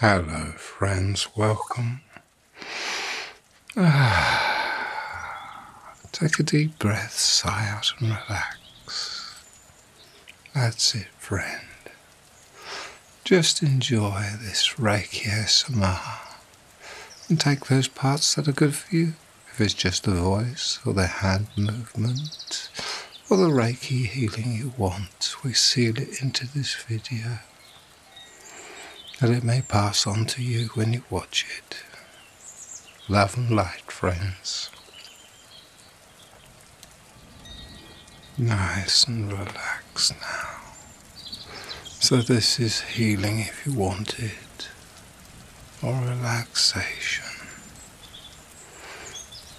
Hello, friends, welcome. take a deep breath, sigh out, and relax. That's it, friend. Just enjoy this Reiki Sama, and take those parts that are good for you, if it's just the voice or the hand movement all the Reiki healing you want, we seal it into this video that it may pass on to you when you watch it. Love and light, friends. Nice and relaxed now. So, this is healing if you want it, or relaxation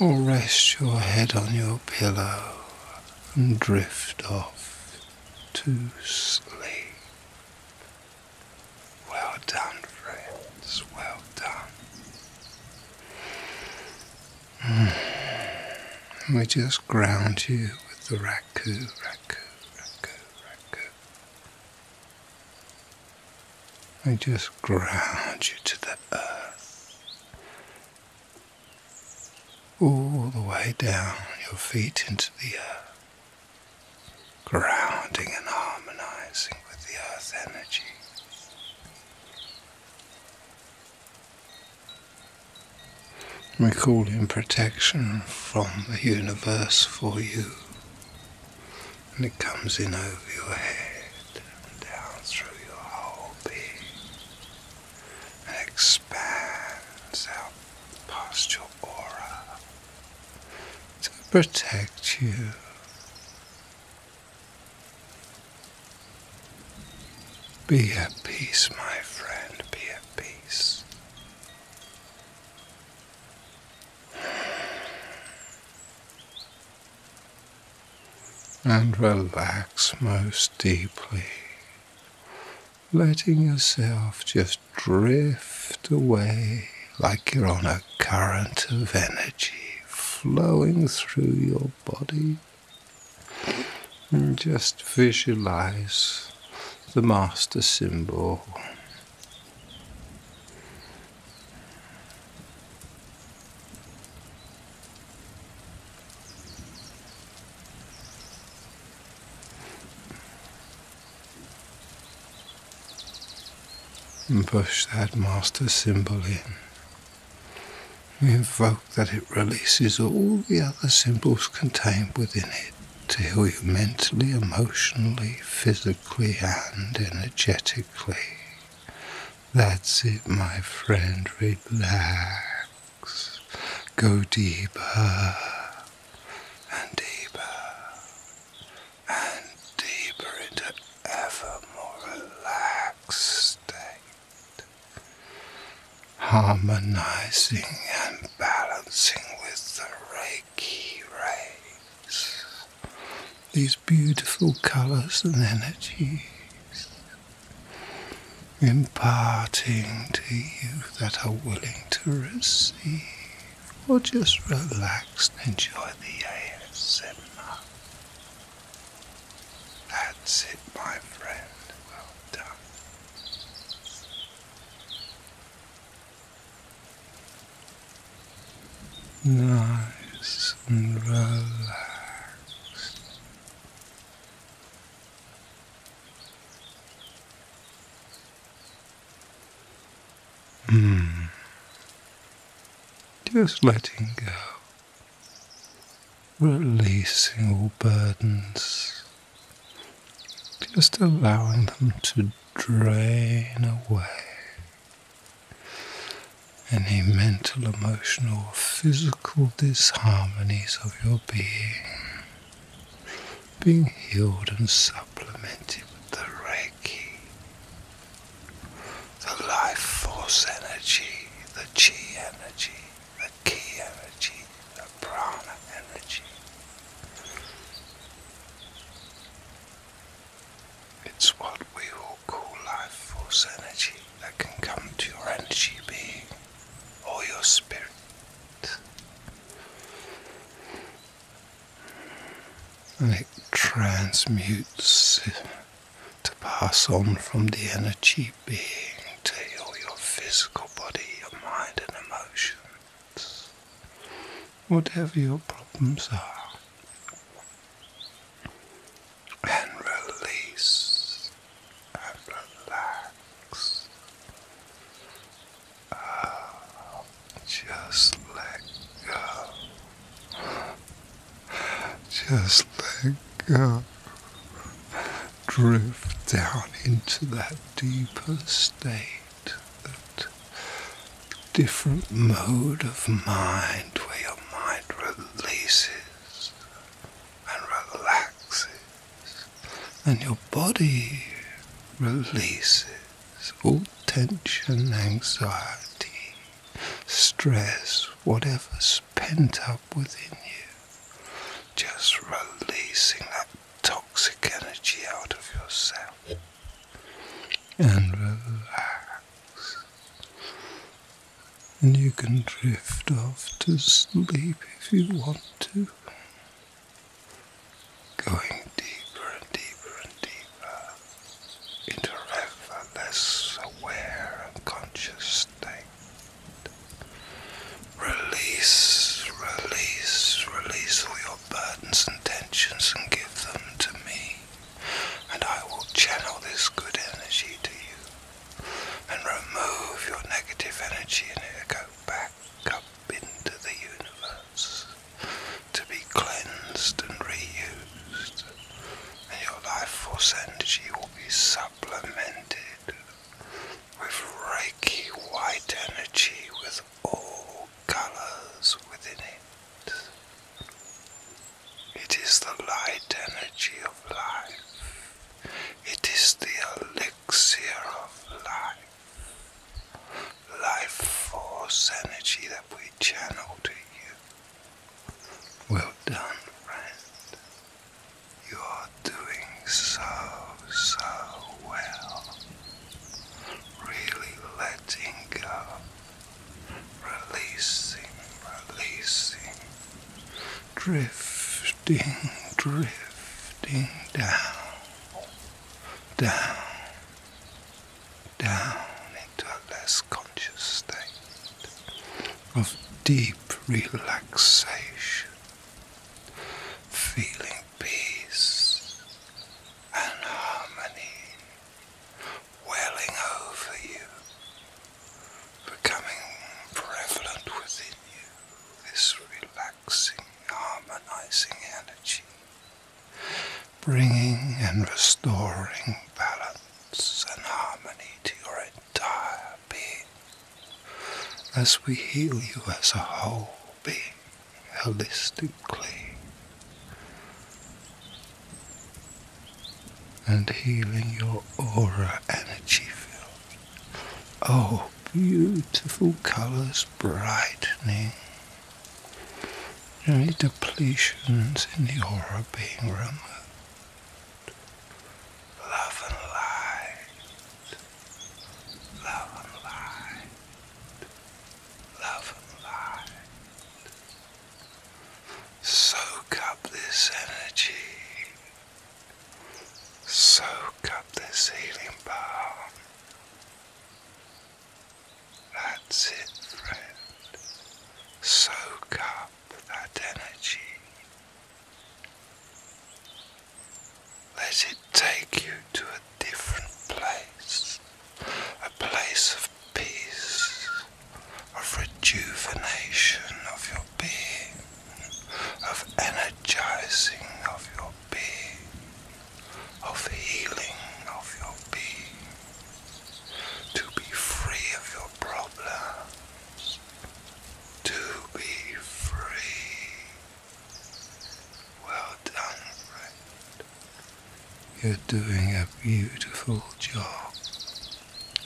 or rest your head on your pillow and drift off to sleep. Well done, friends, well done. we mm. just ground you with the raku, raku, raku, raku. I just ground you to the earth. All the way down your feet into the earth, grounding and harmonizing with the earth energy. We call in protection from the universe for you and it comes in over your head and down through your whole being and expands out past your aura to protect you. Be at peace, my friend, be at peace and relax most deeply, letting yourself just drift away like you're on a current of energy flowing through your body. And just visualize the master symbol and push that master symbol in. invoke that it releases all the other symbols contained within it to heal you mentally, emotionally, physically, and energetically. That's it, my friend. Relax. Go deeper and deeper and deeper into ever more relaxed state, harmonizing and balancing with the Reiki rays. These beautiful colours and energies, imparting to you that are willing to receive, or just relax and enjoy the ASMR. That's it, my friend. Well done nice and relaxed. Mm. Just letting go, releasing all burdens, just allowing them to drain away any mental, emotional, physical disharmonies of your being being healed and supplemented with the Reiki, the life force energy, the Chi energy, the Ki energy, the Prana energy. It's what we will call life force energy that can come to your energy being or your spirit. And it transmutes to pass on from the energy being to your, your physical body, your mind, and emotion whatever your problems are, and release and relax. Oh, just let go. Just let go. Drift down into that deeper state different mode of mind where your mind releases and relaxes, and your body releases all tension, anxiety, stress, whatever's pent up within you. Just releasing that toxic energy out of yourself and relax. And you can drift off to sleep if you want to, going deeper and deeper and deeper into ever less aware and conscious state. Release, release, release. We burdens and tensions and give them to me, and I will channel this good energy to you and remove your negative energy and it will go back up into the universe to be cleansed and reused and your life force energy will be supplemented with Reiki white energy with all colors within it. It is the light energy of life. It is the elixir of life. Life force energy that we channel to you. Well done, friend. You are doing so, so well really letting go, releasing, releasing, drifting, drifting down, down, down into a less conscious state of deep relaxation, feeling peace, and harmony welling over you, becoming prevalent within you, this relaxing, harmonizing energy, bringing and restoring balance and harmony to your entire being as we heal you as a whole being holistically and healing your aura energy field. Oh, beautiful colours brightening. Any depletions in the aura being removed. Love and light love and light, love and light. Soak up this energy, soak up this healing power. That's it, friend. Soak up that energy. Let it take you to a different place, a place of peace, of rejuvenation of your being, of energizing of your being, of healing of your being, to be free of your problems, to be free. Well done, friend. You're doing a beautiful job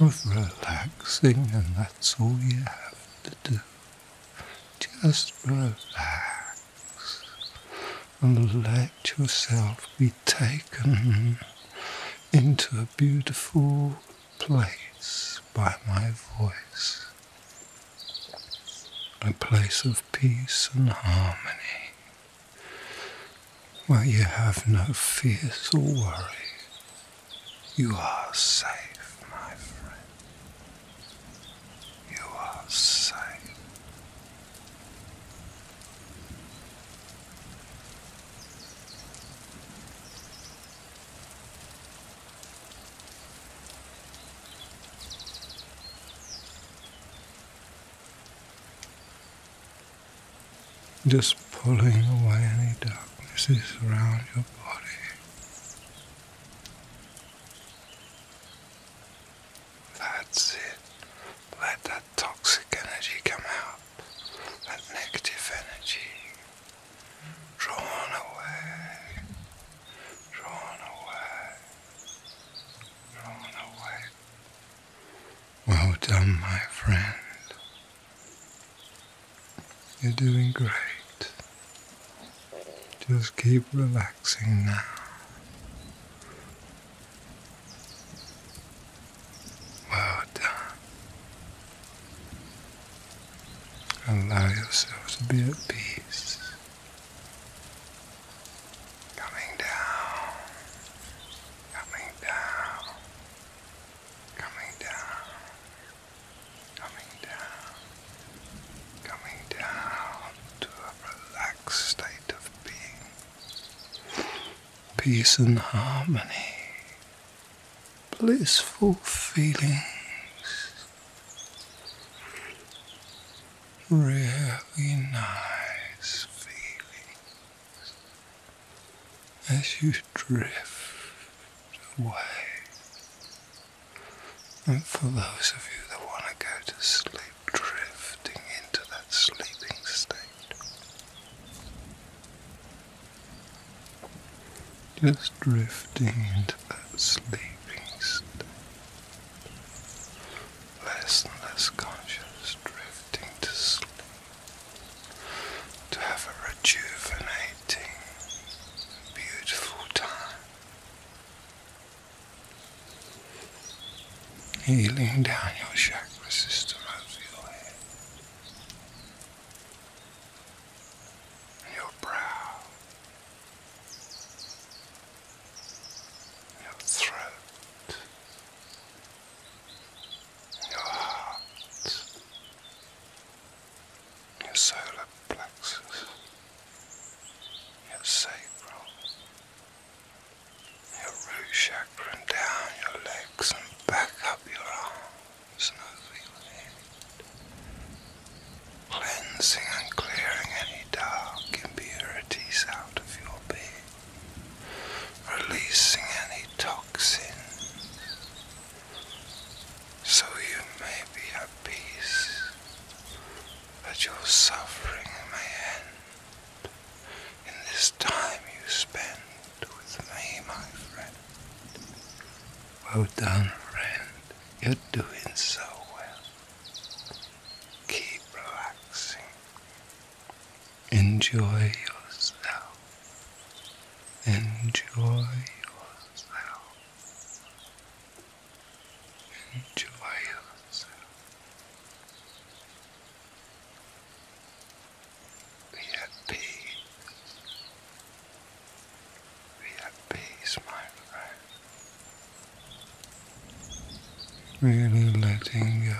of relaxing, and that's all you have to do. Just relax and let yourself be taken into a beautiful place by my voice a place of peace and harmony, where you have no fears or worry. You are safe, my friend. You are safe. Just pulling away any darknesses around your body. That's it. Let that toxic energy come out, that negative energy drawn away, drawn away, drawn away. Well done, my friend. You're doing great. Just keep relaxing now. Well done. Allow yourselves to be at peace. Coming down, coming down, coming down, coming down, coming down to a relaxed state of being. Peace and harmony, blissful feelings really nice feelings as you drift away. And for those of you that want to go to sleep, drifting into that sleeping state. Just drifting into that sleeping state. Less and less conscious, drifting to sleep. To have a rejuvenating, beautiful time. Healing down your chakra system over your head. your brow your throat, your heart, your solar plexus, your sacral, your root chakra, and down your legs and back up your arms smoothly lift, cleansing and clearing any dark impurities out of your being, releasing any toxins, so you may be at peace, that your suffering may end in this time you spend with me, my friend. Well done, friend. You're doing so well. Keep relaxing. Enjoy yourself. Enjoy yourself. Enjoy yourself. Be at peace. Be at peace, my friend. Really letting go.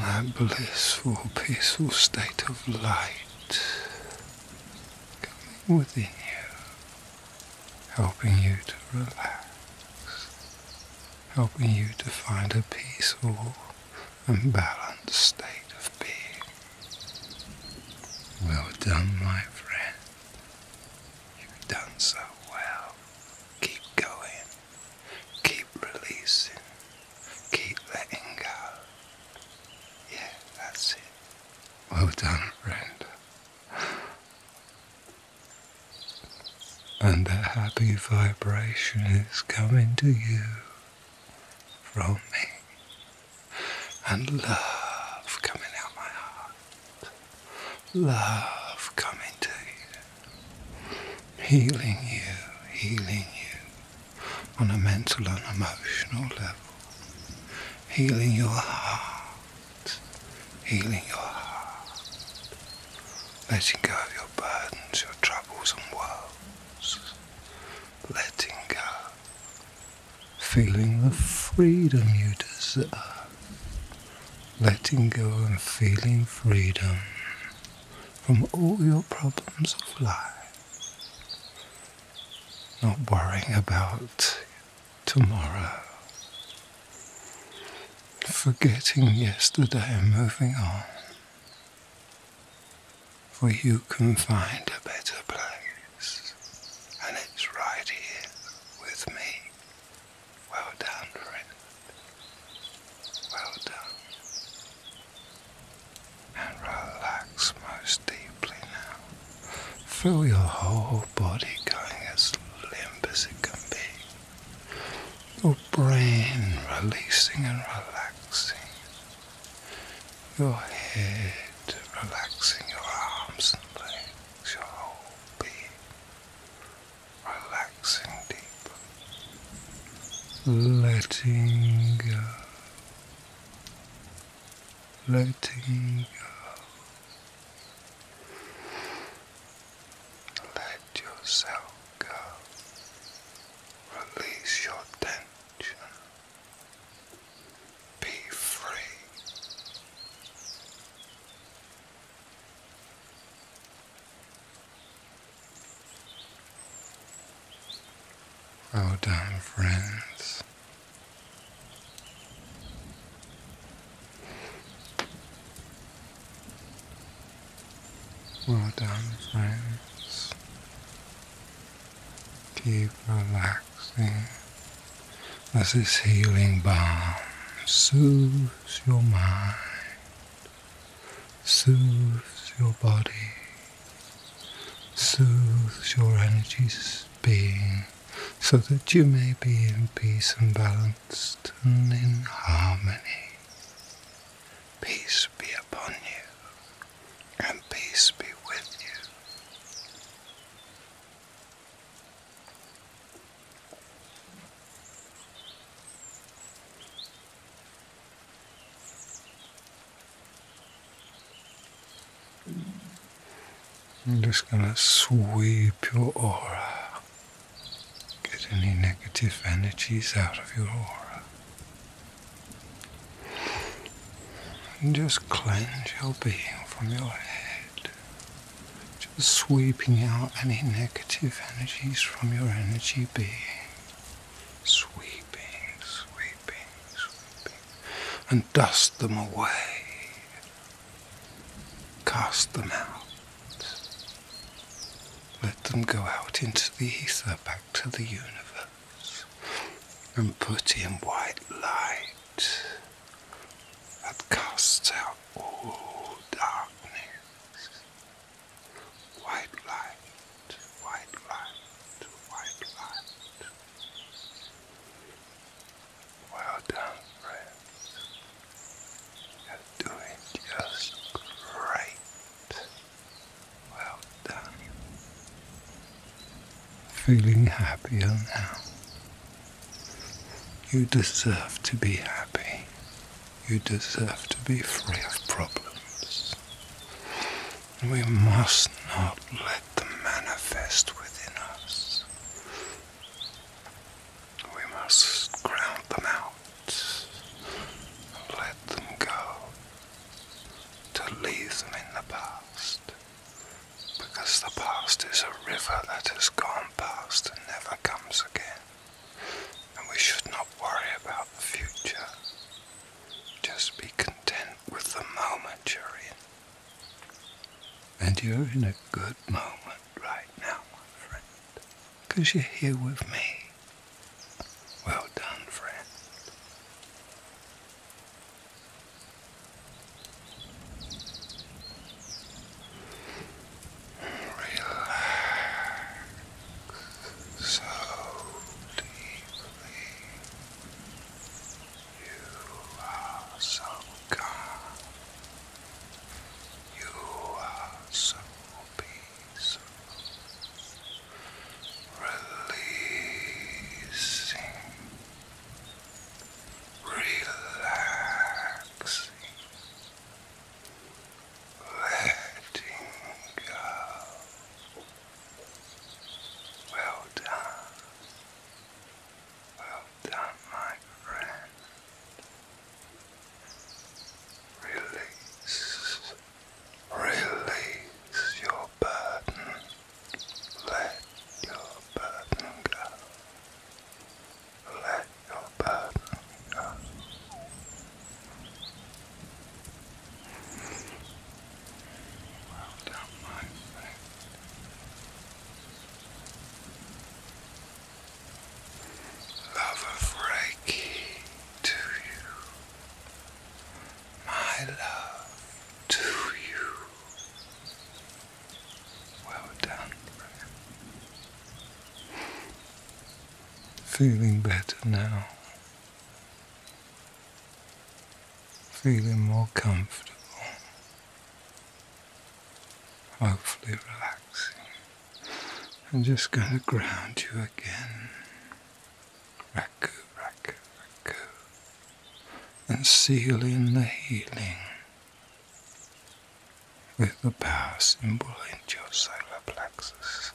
That blissful, peaceful state of light coming within you, helping you to relax, helping you to find a peaceful and balanced state of being. Well done, my friend. You've done so well. Keep going. Keep releasing. Keep letting go. Yeah, that's it. Well done, friend. And that happy vibration is coming to you roaming and love coming out my heart. Love coming to you, healing you, healing you on a mental and emotional level, healing your heart, healing your heart, letting go of your burdens, your troubles and woes letting go, feeling the freedom you deserve, letting go and feeling freedom from all your problems of life, not worrying about tomorrow, forgetting yesterday and moving on for you can find a better place, and it's right here with me. Well done, friend. Well done. And relax most deeply now. Feel your whole body going as limp as it can be your brain releasing and relaxing, your head relaxing, your arms and legs, your whole body relaxing deep, letting go, letting go. Let yourself go. Release your tension. Be free. Well done, friends. Well done, friends. Keep relaxing as this healing balm soothes your mind, soothes your body, soothes your energies being so that you may be in peace and balanced and in harmony. Peace be upon you, and peace be with you. I'm just going to sweep your aura Get any negative energies out of your aura. And just cleanse your being from your head. Just sweeping out any negative energies from your energy being. Sweeping, sweeping, sweeping. And dust them away. Cast them out. Let them go out into the ether, back to the universe, and put in white light that casts out all darkness. White light, white light, white light. Well done, friends. You're doing just great. Well done. Feeling happier now. You deserve to be happy. You deserve to be free of problems. We must not let them manifest within us. We must ground them out, let them go, to leave them in the past, because the past is a river that has gone past and never comes again, and we should not worry about the future. Just be content with the moment you're in. And you're in a good moment right now, my friend, because you're here with me. Well done, friend. Relax so deeply. You are so calm. You are so peaceful. Releasing, relaxing, letting go. Well done, well done, my friend. Release, release your burden. Let your burden go. Let your burden go. Well my friend love of Reiki to you, my love to you. Well done, Feeling better now. Feeling more comfortable hopefully relaxing. I'm just going to ground you again. Raku, raku, raku. And seal in the healing with the power symbol into your solar plexus.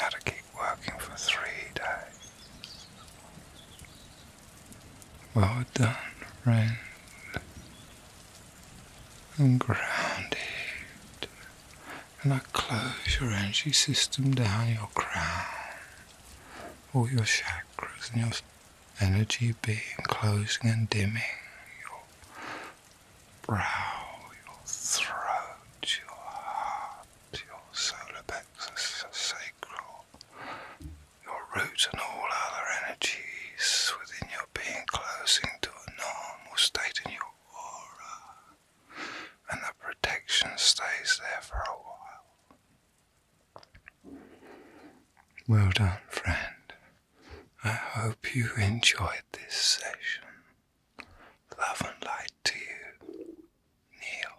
Now to keep working for three days. Well done, friend and grounded. And I close your energy system down your crown, all your chakras and your energy being closing and dimming your brow, your throat, your heart, your solar plexus, sacral, your roots and all other energies within your being closing to a normal state in your aura, and the protection stays there for a while. Well done, friend. I hope you enjoyed this session. Love and light to you, Neil.